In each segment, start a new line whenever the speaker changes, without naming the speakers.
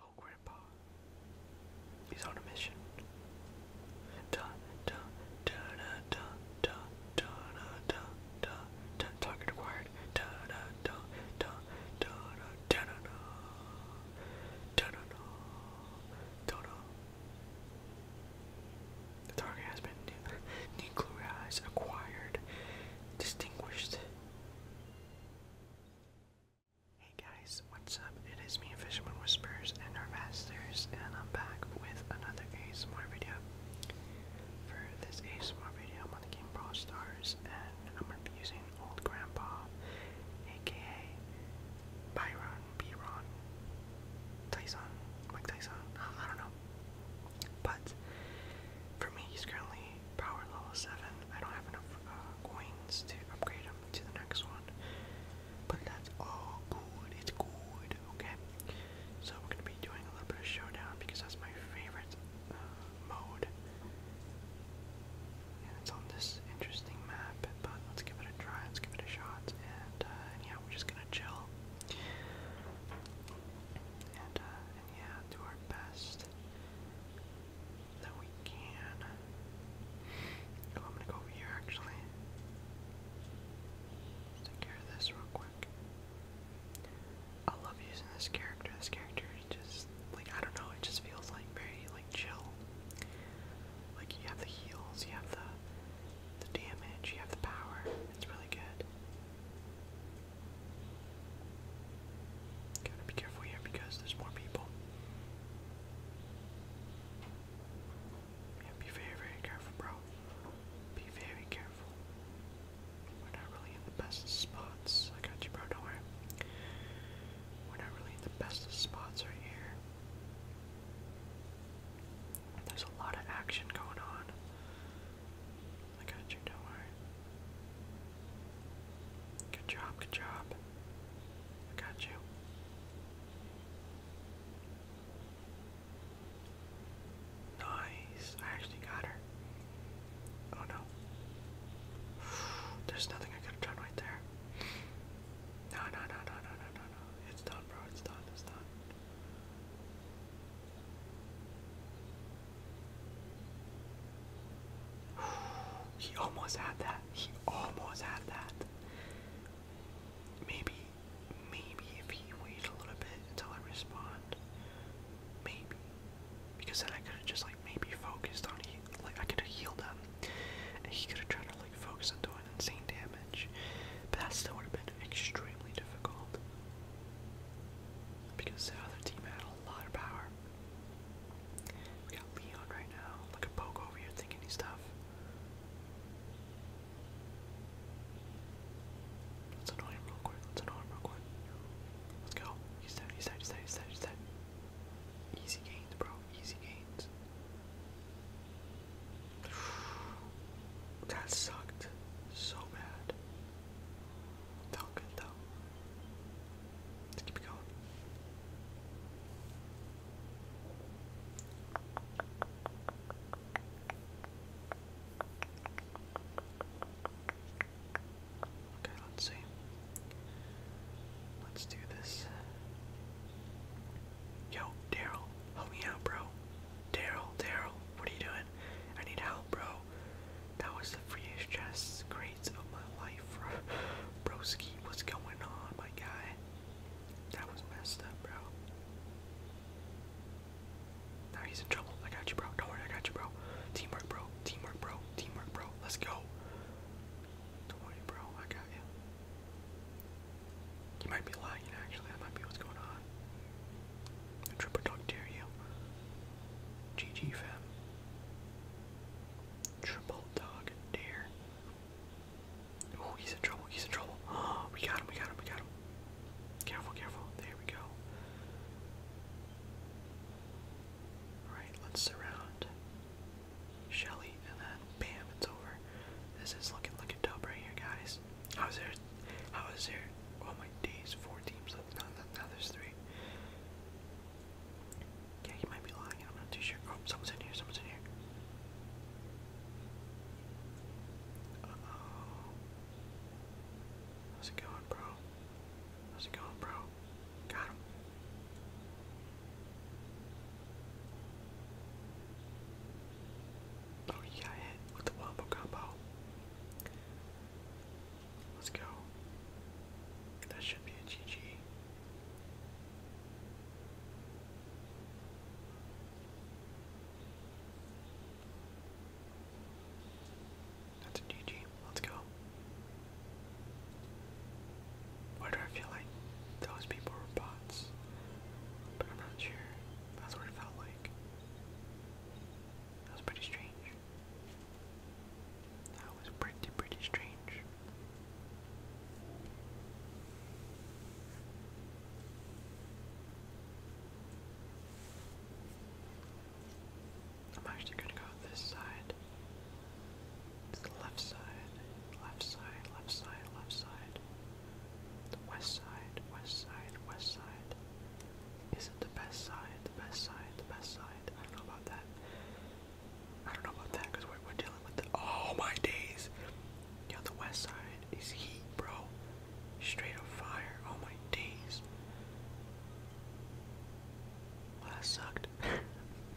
Oh, Grandpa. He's on a mission. Da da da da da da da da da target acquired. da da da da da da da da da da Toto. The target has been nuclearized, acquired, distinguished. Hey guys, what's up? It is me, Fisherman Whispers and our masters, and I'm back with another ASMR video. For this ASMR video, I'm on the game Brawl Stars, and I'm gonna be using old grandpa, aka Byron, Byron, Tyson, Mike Tyson, I don't know. But for me, he's currently power level 7. I don't have enough uh, coins to upgrade him to the next one. But that's all good. It's good, okay? So we're going to be doing a little bit of showdown because that's my favorite uh, mode and it's on this interesting map, but let's give it a try, let's give it a shot, and, uh, yeah, we're just gonna chill, uh, and, yeah, do our best that we can. Oh, I'm gonna go here, actually. Take care of this real quick. I love using this character. This character is just, like, I don't know, it just feels like very, like chill. Like you have the heals, you have the the damage, you have the power. It's really good. Gotta be careful here because there's more people. Yeah, be very, very careful, bro. Be very careful. We're not really in the best spots. I got you, bro. Don't worry. We're not really in the best of spots right here. There's a lot of action going on. I got you, don't worry. Good job, good job. I got you. Nice. I actually got her. Oh no. There's nothing I could have done right there. No, no, no, no, no, no, no, no. It's done, bro. It's done. It's done. He almost had that. He almost had that. Maybe, maybe if he waited a little bit until I respond, Maybe. Because then I could have just like maybe focused on like I could have healed him. And he could have tried to like focus on doing insane damage. But that still would have been extremely difficult. Because the other team had a lot of power. We got Leon right now. Look at Poke over here thinking he's Let's annoy him real quick. Let's annoy him real quick. Let's go. He's dead, he's dead, he's dead, he's dead, he's dead. Easy gains, bro. Easy gains. That sucked so bad. Felt good though. Let's keep it going. Okay, let's see. Let's do this. Yo, Daryl, help me out, bro. Daryl, Daryl, what are you doing? I need help, bro. That was the freest chest of my life, bro. Broski, what's going on, my guy? That was messed up, bro. Now he's in trouble. I got you, bro. Don't worry, I got you, bro. Teamwork, bro. Teamwork, bro. Teamwork, bro. Let's go. Don't worry, bro. I got you. You might be lying, actually. That might be what's going on. triple dog dare you. GG, fam. Triple dog dare. Oh, he's in trouble. He's in trouble. Oh, we got him. We got him. We got him. Careful, careful. There we go. Alright, let's surround Shelly and then bam, it's over. This is looking looking dope right here, guys. How is there how is there oh my days, four teams left now, now there's three. Yeah, he might be lying, I'm not too sure. Oh, someone's in here, someone's in here. How's it going, bro? How's it going, bro? Got him. Oh, you got hit with the wombo combo. Let's go. That should be a GG. That's a GG. Let's go. Why do I feel like those people were bots? But I'm not sure. That's what it felt like. That was pretty strange. That was pretty, pretty strange. I'm actually gonna go this side. It's the left side, left side, left side, left side. The west side, west side, west side. Isn't the best side, the best side, the best side? I don't know about that. I don't know about that because we're, we're dealing with the. Oh my days! Yeah, the west side is heat, bro. Straight up fire. Oh my days. Well, that sucked.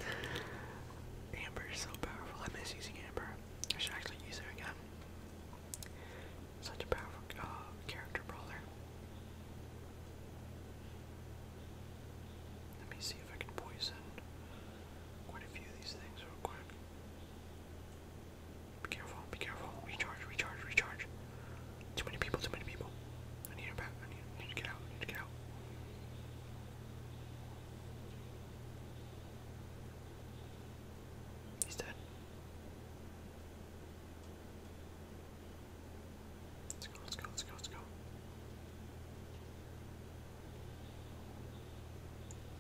Amber is so powerful. I miss using Amber. I should actually use her again. Such a powerful uh, character brawler. Let me see if I can poison quite a few of these things real quick. Be careful, be careful. Recharge, recharge, recharge. Too many people, too many people. I need her back. I need, I need to get out. I need to get out. He's dead. Let's go, let's go, let's go, let's go.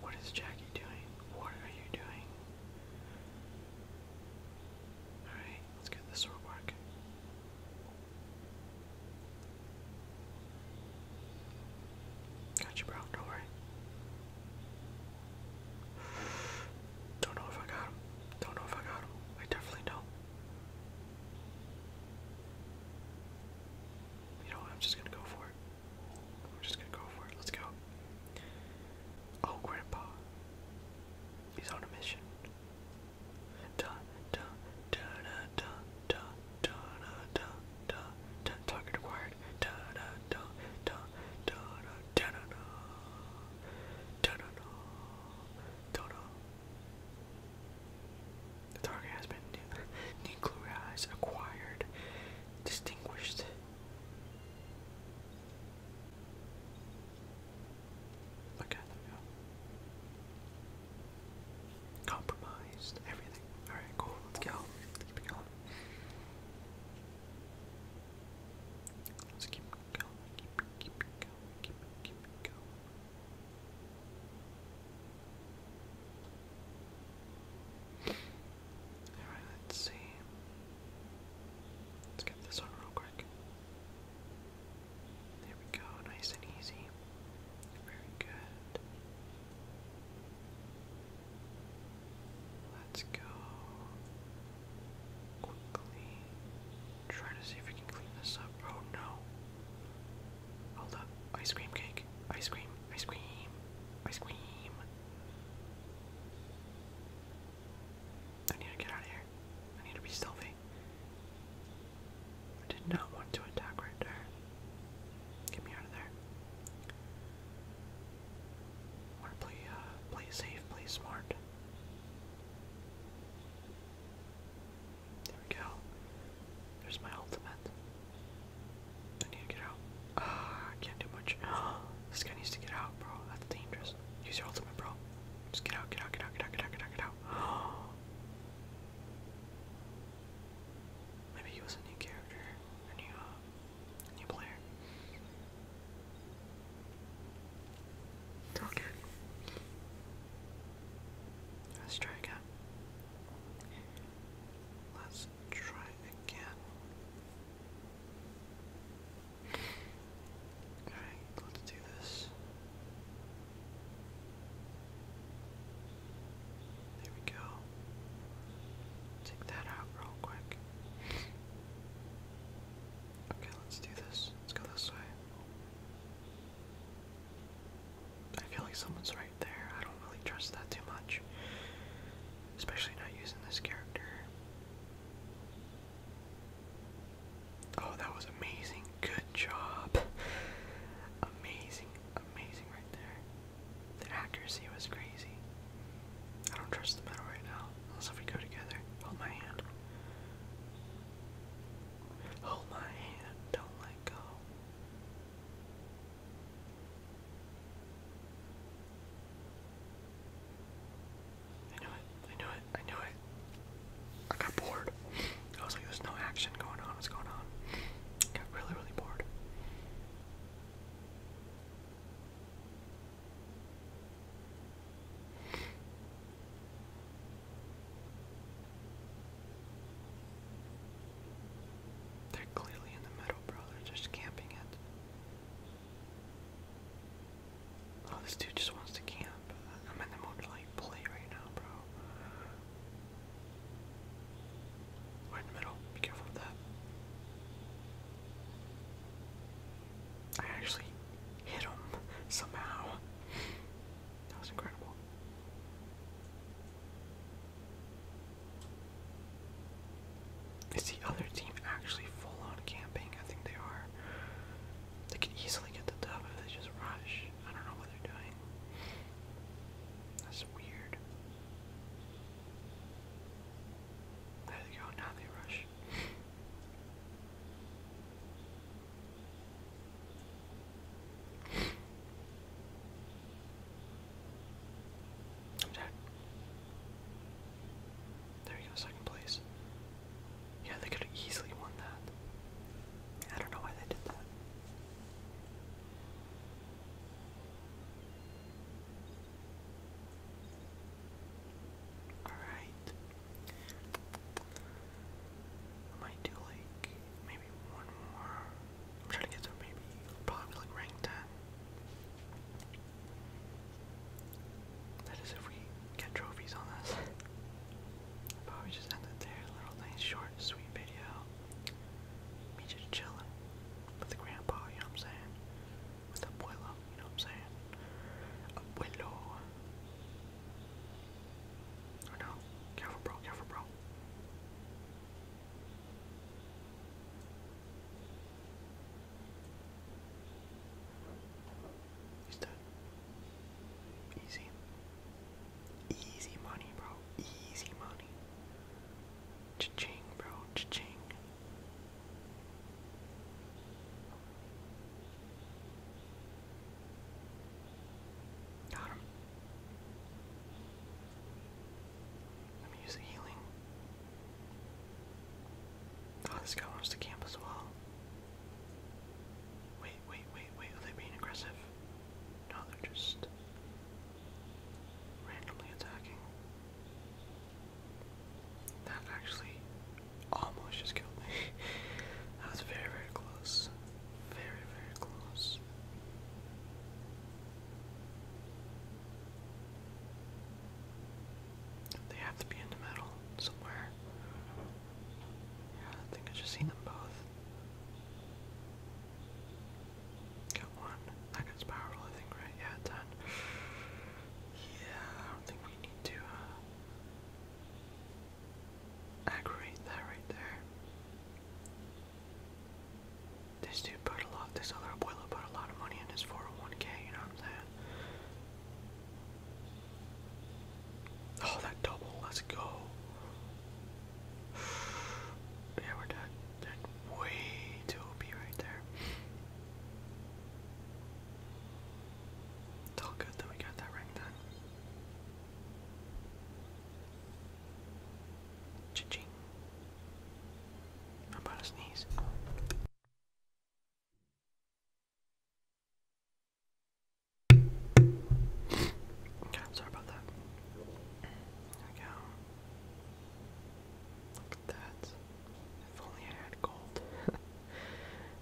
What is Jackie doing? What are you doing? Alright, let's get this one work. Got you, bro. Don't worry. Don't know if I got him. Don't know if I got him. I definitely do You know I'm just gonna go for it. We're just gonna go for it. Let's go. Oh, Grandpa. He's on a mission. Target acquired. target has been nuclearized, acquired, distinguished. Okay, Compromised everything. Alright, cool, let's go. Let's keep going. Let's keep going, keep it, keep going, keep going. Alright, let's see. Let's get this on real quick. There we go, nice and easy. Very good. Let's go quickly. Try to see if we can clean this up. Oh no. Hold up. Ice cream cake. Ice cream cream, ice cream, ice cream. I need to get out of here. I need to be stealthy. I did not want to attack right there. Get me out of there. I want to play, uh, play safe, play smart. There we go. There's my ultimate. I need to get out. Ah, I can't do much. this guy needs to get out, bro. That's dangerous. Use your ultimate, bro. Just get out, get out, get out, get out, get out, get out, Maybe he was a new character, a new, uh, new player. Okay. Let's try again. Let's Let's try again. Alright, let's do this. There we go. Take that out real quick. Okay, let's do this. Let's go this way. I feel like someone's right there. I don't really trust that too much. Especially not using this character. Oh, that was amazing. Good job. Amazing, amazing right there. The accuracy was crazy. I don't trust the metal right now. Unless if we go together. Hold my hand. Hold my hand. Don't let go. I knew it. I knew it. I knew it. I got bored. I was like, there's no action going on. What's going on? got really, really bored. They're clearly in the middle, bro. They're just camping it. Oh, this dude just wants to camp. I'm in the mood to like play right now, bro. We're in the middle. Be careful with that. I actually hit him somehow. That was incredible. Is the other team actually full on camping? I think they are. They could easily get the dub if they just rush. I don't know what they're doing. That's weird. There they go, now they rush. There you go, second place. Yeah, they could have easily won that. I don't know why they did that. Alright. I do like maybe one more. I'm trying to get to maybe probably like rank ten. That is if we get trophies on this. Probably just end it there. Little nice short sweet video. Me just chilling with the grandpa, you know what I'm saying? With the abuelo, you know what I'm saying? Abuelo. Oh no. Careful, bro. Careful, bro. Easy. Easy money, bro. Easy money. ching bro. ching Got him. Let me use healing. Oh, this guy wants to camp as well. Wait, wait, wait, wait. Are they being aggressive? No, they're just randomly attacking. That actually almost just killed me. that was very, very close. Very, very close. They have to be in the middle somewhere. Yeah, I think I just seen them both. Got one. That guy's powerful, I think, right? Yeah, 10. Yeah, I don't think we need to, uh, Aggravate that right there. This dude put a lot, this other boiler put a lot of money in his 401k, you know what I'm saying? Oh, that double, let's go. Yeah, we're dead. Dead way too OP right there. It's all good that we got that ring ching I'm about to sneeze. Okay, sorry about that. Look at that. If only I had gold.